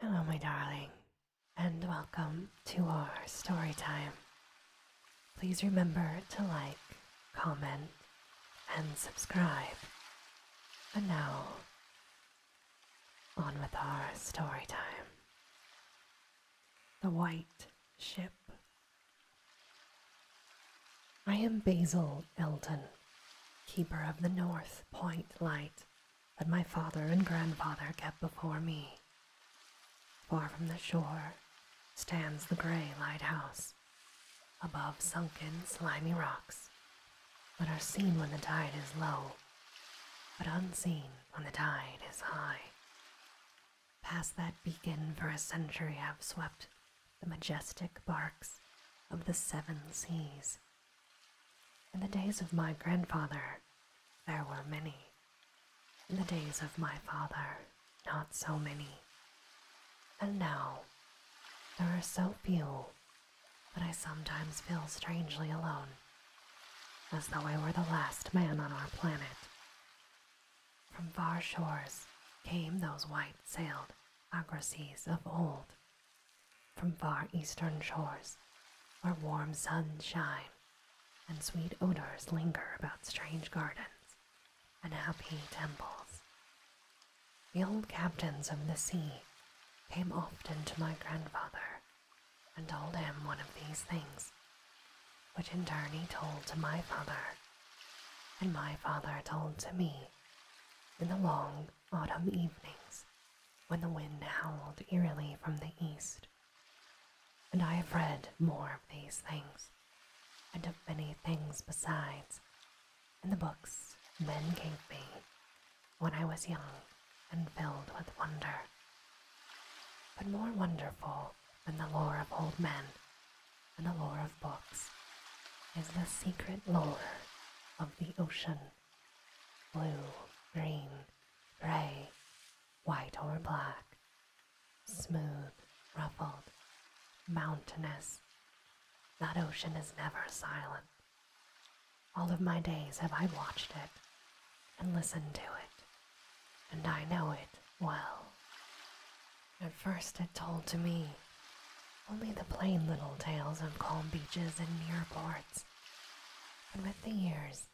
Hello, my darling, and welcome to our story time. Please remember to like, comment, and subscribe. And now, on with our story time. The White Ship. I am Basil Elton, Keeper of the North Point Light that my father and grandfather kept before me. Far from the shore stands the gray lighthouse, above sunken, slimy rocks that are seen when the tide is low, but unseen when the tide is high. Past that beacon for a century have swept the majestic barks of the seven seas in the days of my grandfather, there were many. In the days of my father, not so many. And now, there are so few that I sometimes feel strangely alone, as though I were the last man on our planet. From far shores came those white sailed Agrases of old from far eastern shores, where warm suns shine and sweet odors linger about strange gardens and happy temples. The old captains of the sea came often to my grandfather and told him one of these things, which in turn he told to my father, and my father told to me in the long autumn evenings when the wind howled eerily from the east. And I have read more of these things, and of many things besides, in the books men gave me when I was young and filled with wonder. But more wonderful than the lore of old men and the lore of books is the secret lore of the ocean blue, green, gray, white, or black, smooth, ruffled, mountainous. That ocean is never silent. All of my days have I watched it and listened to it, and I know it well. At first, it told to me only the plain little tales of calm beaches and near ports. And with the years,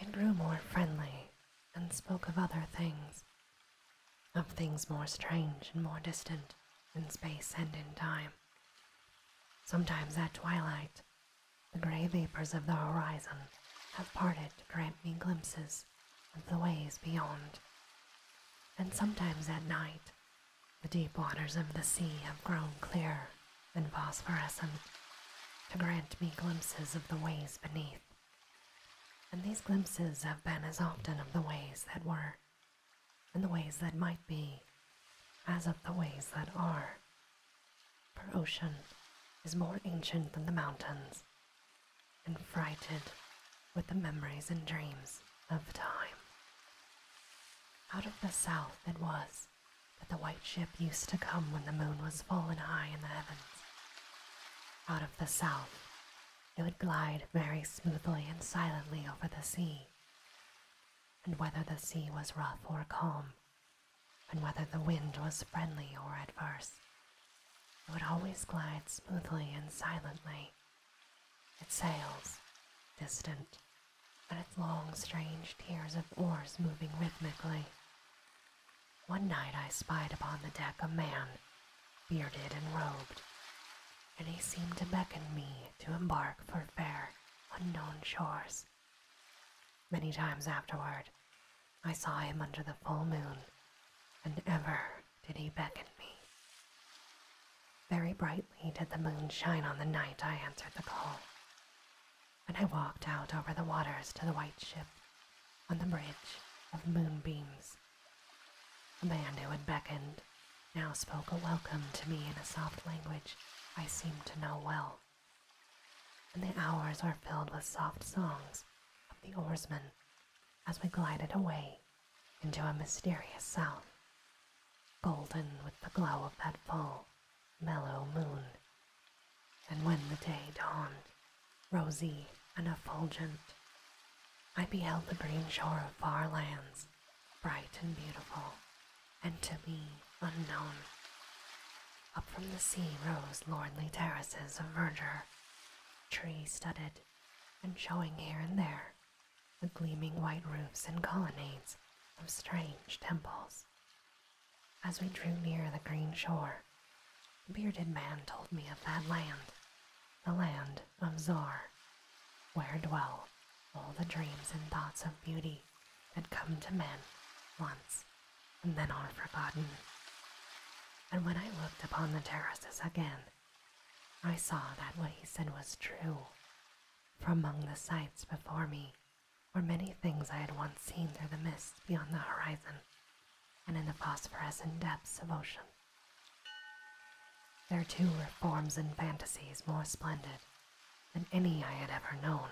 it grew more friendly and spoke of other things, of things more strange and more distant in space and in time. Sometimes at twilight, the gray vapors of the horizon have parted to grant me glimpses of the ways beyond. And sometimes at night, the deep waters of the sea have grown clear and phosphorescent to grant me glimpses of the ways beneath. And these glimpses have been as often of the ways that were, and the ways that might be, as of the ways that are. For ocean is more ancient than the mountains, and frighted with the memories and dreams of time. Out of the south it was that the white ship used to come when the moon was full and high in the heavens. Out of the south it would glide very smoothly and silently over the sea. And whether the sea was rough or calm, and whether the wind was friendly or adverse, it would always glide smoothly and silently it sails, distant, but its long, strange tiers of oars moving rhythmically. One night I spied upon the deck a man, bearded and robed, and he seemed to beckon me to embark for fair, unknown shores. Many times afterward, I saw him under the full moon, and ever did he beckon me. Very brightly did the moon shine on the night I answered the call. When I walked out over the waters to the white ship, on the bridge of moonbeams, the man who had beckoned now spoke a welcome to me in a soft language I seemed to know well. And the hours were filled with soft songs of the oarsmen as we glided away into a mysterious south, golden with the glow of that full, mellow moon. And when the day dawned, rosy and effulgent, I beheld the green shore of far lands, bright and beautiful, and to me unknown. Up from the sea rose lordly terraces of verdure, tree studded, and showing here and there the gleaming white roofs and colonnades of strange temples. As we drew near the green shore, the bearded man told me of that land, the land of Zor, where dwell all the dreams and thoughts of beauty that come to men once and then are forgotten. And when I looked upon the terraces again, I saw that what he said was true, for among the sights before me were many things I had once seen through the mists beyond the horizon and in the phosphorescent depths of ocean. There too were forms and fantasies more splendid than any I had ever known.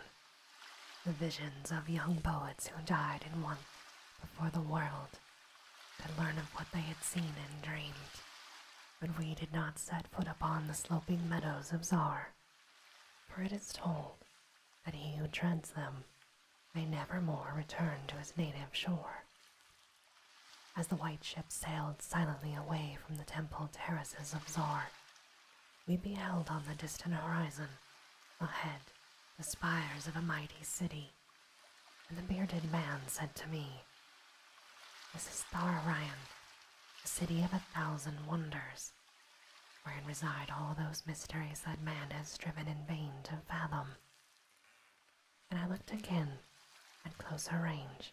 The visions of young poets who died in want before the world could learn of what they had seen and dreamed, but we did not set foot upon the sloping meadows of Zar, for it is told that he who treads them may never more return to his native shore. As the white ship sailed silently away from the temple terraces of Zar, we beheld on the distant horizon ahead the spires of a mighty city, and the bearded man said to me, this is Star the city of a thousand wonders, wherein reside all those mysteries that man has striven in vain to fathom. And I looked again at closer range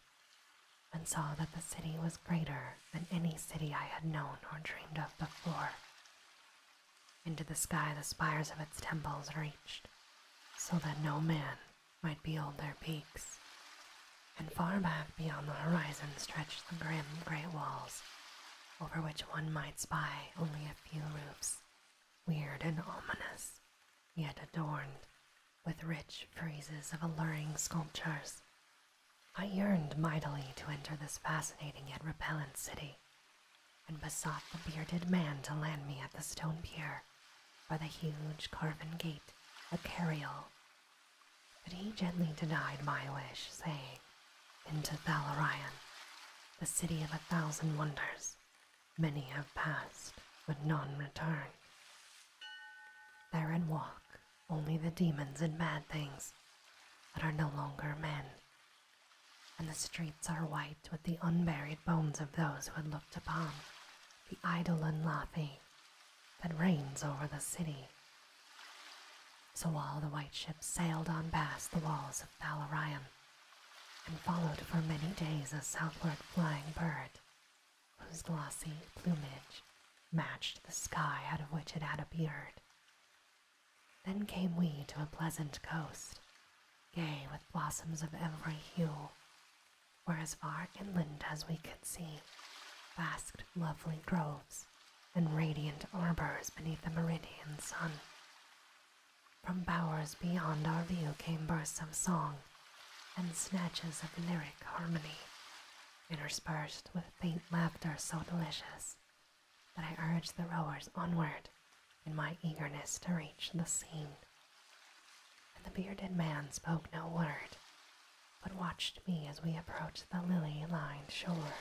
and saw that the city was greater than any city I had known or dreamed of before. Into the sky the spires of its temples reached, so that no man might behold their peaks, and far back beyond the horizon stretched the grim great walls, over which one might spy only a few roofs, weird and ominous, yet adorned with rich friezes of alluring sculptures. I yearned mightily to enter this fascinating yet repellent city, and besought the bearded man to land me at the stone pier by the huge carven gate, a carriole. But he gently denied my wish, saying, Into Thalarion, the city of a thousand wonders. Many have passed, but none return. Therein walk only the demons and bad things that are no longer men. And the streets are white with the unburied bones of those who had looked upon the idle and laughing, that reigns over the city. So while the white ships sailed on past the walls of Valerian, and followed for many days a southward flying bird, whose glossy plumage matched the sky out of which it had appeared. Then came we to a pleasant coast, gay with blossoms of every hue, as far inland as we could see basked lovely groves and radiant arbors beneath the meridian sun. From bowers beyond our view came bursts of song and snatches of lyric harmony, interspersed with faint laughter so delicious that I urged the rowers onward in my eagerness to reach the scene. And the bearded man spoke no word, but watched me as we approached the lily lined shore.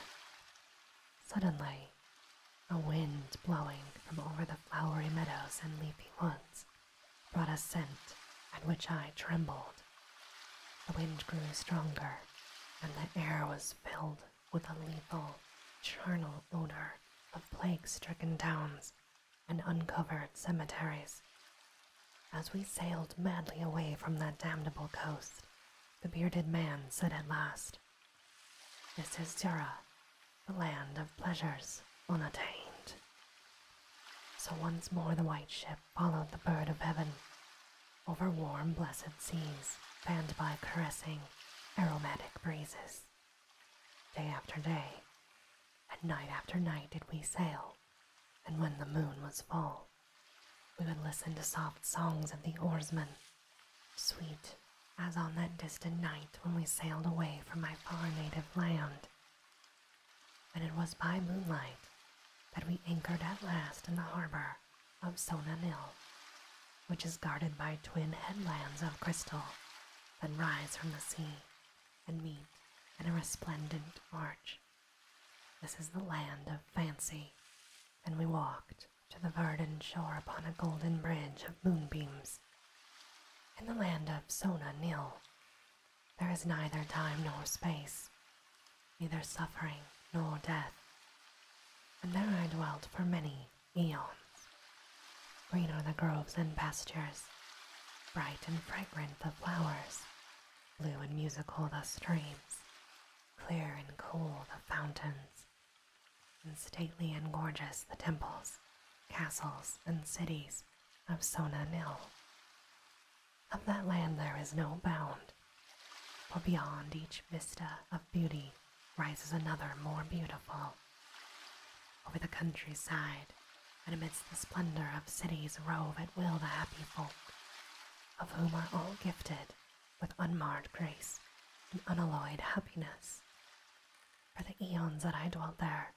Suddenly, a wind blowing from over the flowery meadows and leafy woods brought a scent at which I trembled. The wind grew stronger, and the air was filled with a lethal, charnel odor of plague stricken towns and uncovered cemeteries. As we sailed madly away from that damnable coast, the bearded man said at last, This is Dura, the land of pleasures unattained. So once more the white ship followed the bird of heaven over warm, blessed seas, fanned by caressing, aromatic breezes Day after day, and night after night did we sail, and when the moon was full, we would listen to soft songs of the oarsmen, sweet as on that distant night when we sailed away from my far native land. And it was by moonlight that we anchored at last in the harbor of Sonanil, which is guarded by twin headlands of crystal that rise from the sea and meet in a resplendent arch. This is the land of fancy, and we walked to the verdant shore upon a golden bridge of moonbeams. In the land of Sona Nil, there is neither time nor space, neither suffering nor death. And there I dwelt for many eons. Green are the groves and pastures, bright and fragrant the flowers, blue and musical the streams, clear and cool the fountains, and stately and gorgeous the temples, castles, and cities of Sona Nil. Of that land there is no bound, for beyond each vista of beauty rises another more beautiful over the countryside, and amidst the splendor of cities, rove at will the happy folk, of whom are all gifted with unmarred grace and unalloyed happiness. For the eons that I dwelt there,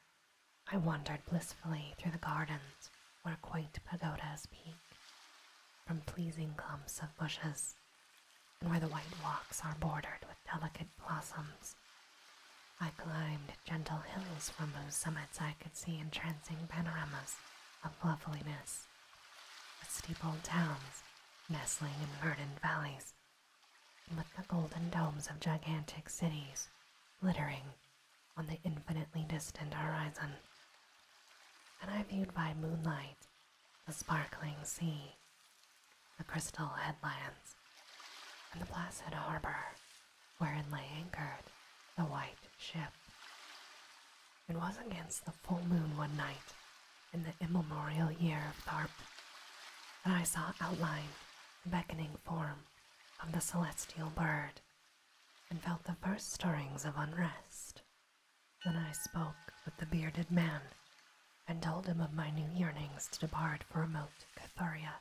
I wandered blissfully through the gardens where quaint pagodas peak from pleasing clumps of bushes and where the white walks are bordered with delicate blossoms. I climbed gentle hills from whose summits I could see entrancing panoramas of loveliness, with steepled towns nestling in verdant valleys, and with the golden domes of gigantic cities glittering on the infinitely distant horizon. And I viewed by moonlight the sparkling sea the Crystal Headlands, and the placid harbor wherein lay anchored the white ship. It was against the full moon one night in the immemorial year of Tharp that I saw outlined the beckoning form of the celestial bird and felt the first stirrings of unrest. Then I spoke with the bearded man and told him of my new yearnings to depart for remote Cathuria,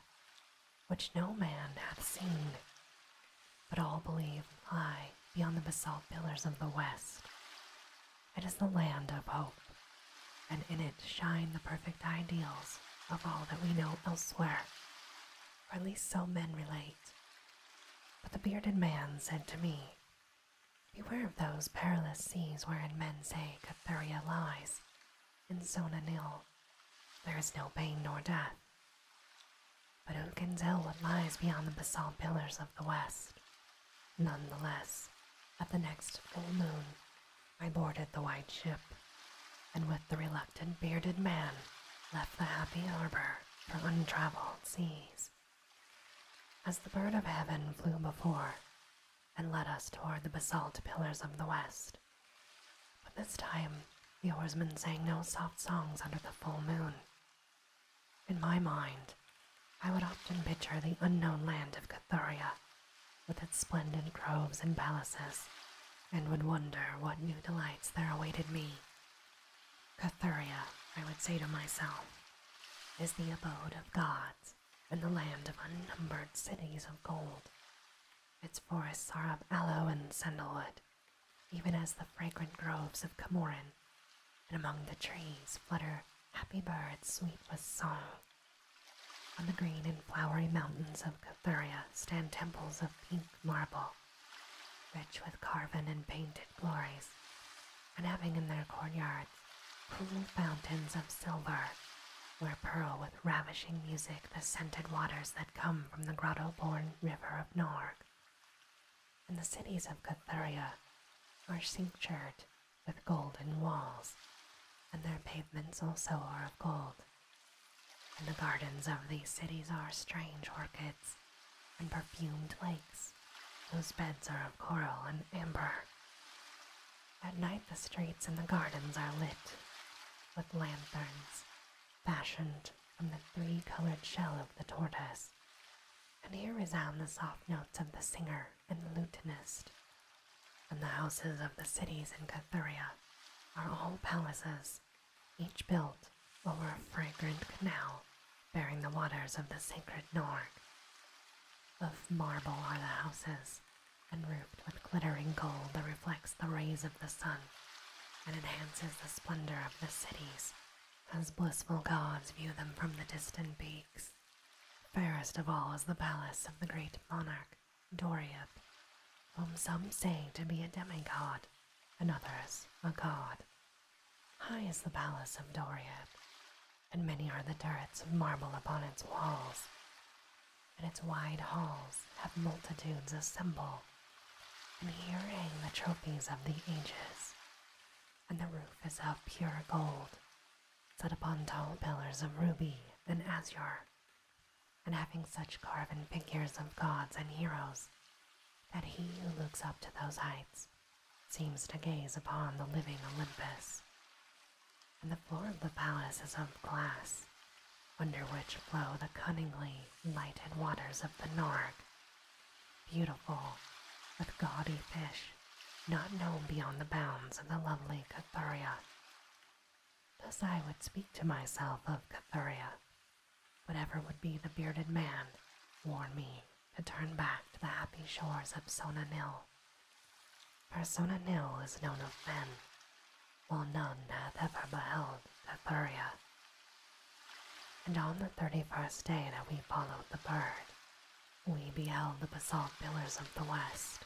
which no man hath seen, but all believe lie beyond the basalt pillars of the west. It is the land of hope, and in it shine the perfect ideals of all that we know elsewhere, or at least so men relate. But the bearded man said to me, Beware of those perilous seas wherein men say Cathuria lies, In Sona nil. There is no pain nor death. But who can tell what lies beyond the basalt pillars of the west? Nonetheless, at the next full moon, I boarded the white ship, and with the reluctant bearded man, left the happy harbor for untraveled seas. As the bird of heaven flew before, and led us toward the basalt pillars of the west. But this time, the oarsmen sang no soft songs under the full moon. In my mind, I would often picture the unknown land of Cathuria with its splendid groves and palaces, and would wonder what new delights there awaited me. Cathuria, I would say to myself, is the abode of gods hills and the land of unnumbered cities of gold. Its forests are of aloe and sandalwood, even as the fragrant groves of Camorin, and among the trees flutter happy birds sweet with song. On the green and flowery mountains of Cathuria stand temples of pink marble, rich with carven and painted glories and having in their courtyards cool fountains of silver, where purl with ravishing music the scented waters that come from the grotto born river of Norg. And the cities of Cathuria are cinctured with golden walls, and their pavements also are of gold. And the gardens of these cities are strange orchids and perfumed lakes, whose beds are of coral and amber. At night, the streets and the gardens are lit with lanterns fashioned from the three colored shell of the tortoise. And here resound the soft notes of the singer and the lutenist. And the houses of the cities in Cathuria are all palaces, each built over a fragrant canal bearing the waters of the sacred Norg. Of marble are the houses, and roofed with glittering gold that reflects the rays of the sun and enhances the splendor of the cities as blissful gods view them from the distant peaks. Fairest of all is the palace of the great monarch, Doriath, whom some say to be a demigod, and others a god. High is the palace of Doriath, and many are the turrets of marble upon its walls, and its wide halls have multitudes assemble, and here hang the trophies of the ages, and the roof is of pure gold, set upon tall pillars of ruby and azure, and having such carven figures of gods and heroes, that he who looks up to those heights seems to gaze upon the living Olympus, and the floor of the palace is of glass, under which flow the cunningly lighted waters of the Norg, beautiful with gaudy fish not known beyond the bounds of the lovely Cathuria. Thus I would speak to myself of Cathuria, whatever would be the bearded man, warn me to turn back to the happy shores of Sona Nil. For Sona Nil is known of men, while none hath ever beheld that And on the thirty-first day that we followed the bird, we beheld the basalt pillars of the west.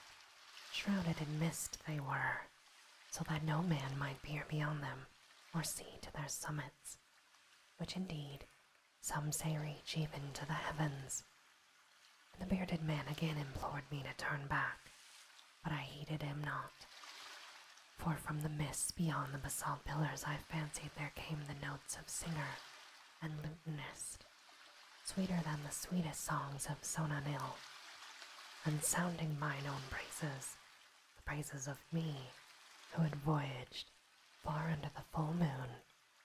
Shrouded in mist they were, so that no man might peer beyond them or see to their summits, which indeed some say reach even to the heavens. the bearded man again implored me to turn back, but I heeded him not. For from the mists beyond the basalt pillars I fancied there came the notes of singer and lutenist, sweeter than the sweetest songs of Sonanil, and sounding mine own praises, the praises of me who had voyaged far under the full moon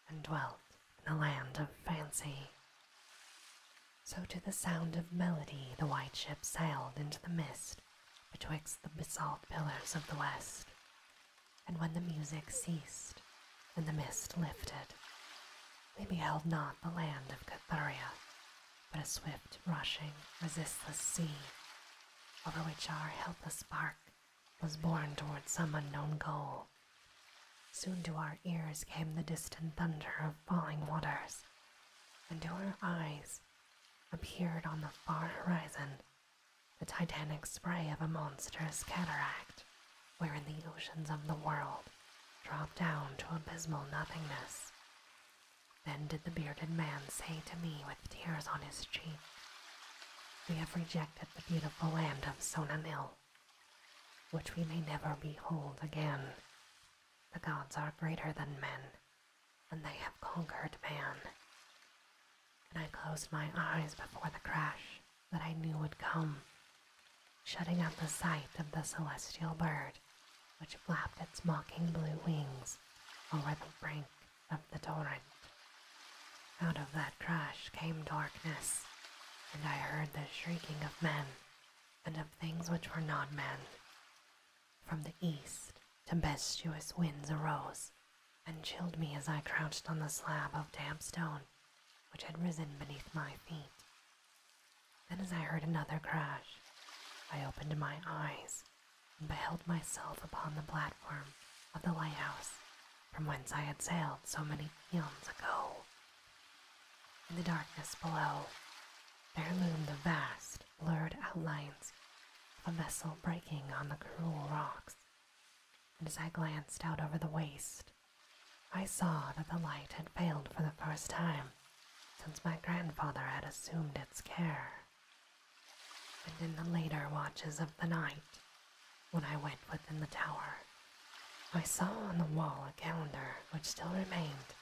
and dwelt in the land of fancy. So, to the sound of melody, the white ship sailed into the mist betwixt the basalt pillars of the west. And when the music ceased and the mist lifted, they beheld not the land of Cathuria, but a swift, rushing, resistless sea, over which our helpless bark was borne towards some unknown goal. Soon to our ears came the distant thunder of falling waters, and to our eyes appeared on the far horizon the titanic spray of a monstrous cataract, wherein the oceans of the world dropped down to abysmal nothingness. Then did the bearded man say to me with tears on his cheeks. We have rejected the beautiful land of Sonamill, which we may never behold again. The gods are greater than men, and they have conquered man. And I closed my eyes before the crash that I knew would come, shutting out the sight of the celestial bird which flapped its mocking blue wings over the brink of the torrent. Out of that crash came darkness, and I heard the shrieking of men and of things which were not men. From the east, tempestuous winds arose and chilled me as I crouched on the slab of damp stone which had risen beneath my feet. Then, as I heard another crash, I opened my eyes and beheld myself upon the platform of the lighthouse from whence I had sailed so many eons ago. In the darkness below, there loomed the vast, blurred outlines of a vessel breaking on the cruel rocks, and as I glanced out over the waste, I saw that the light had failed for the first time since my grandfather had assumed its care and in the later watches of the night, when I went within the tower, I saw on the wall a calendar which still remained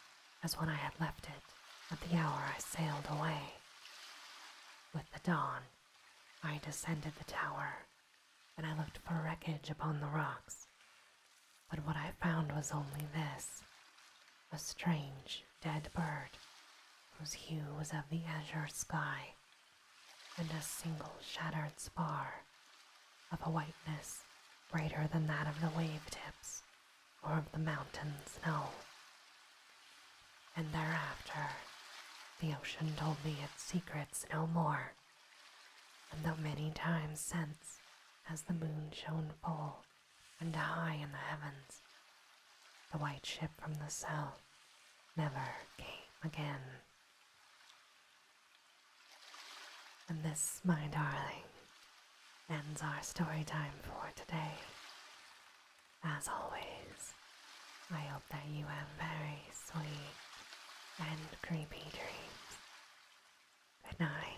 as when I had left it at the hour I sailed away. With the dawn, I descended the tower, and I looked for wreckage upon the rocks. But what I found was only this a strange dead bird, whose hue was of the azure sky and a single shattered spar of a whiteness brighter than that of the wave tips or of the mountain snow. And thereafter, the ocean told me its secrets no more. And though many times since, as the moon shone full and high in the heavens, the white ship from the south never came again. And this, my darling, ends our story time for today. As always, I hope that you have very sweet and creepy dream. Good night.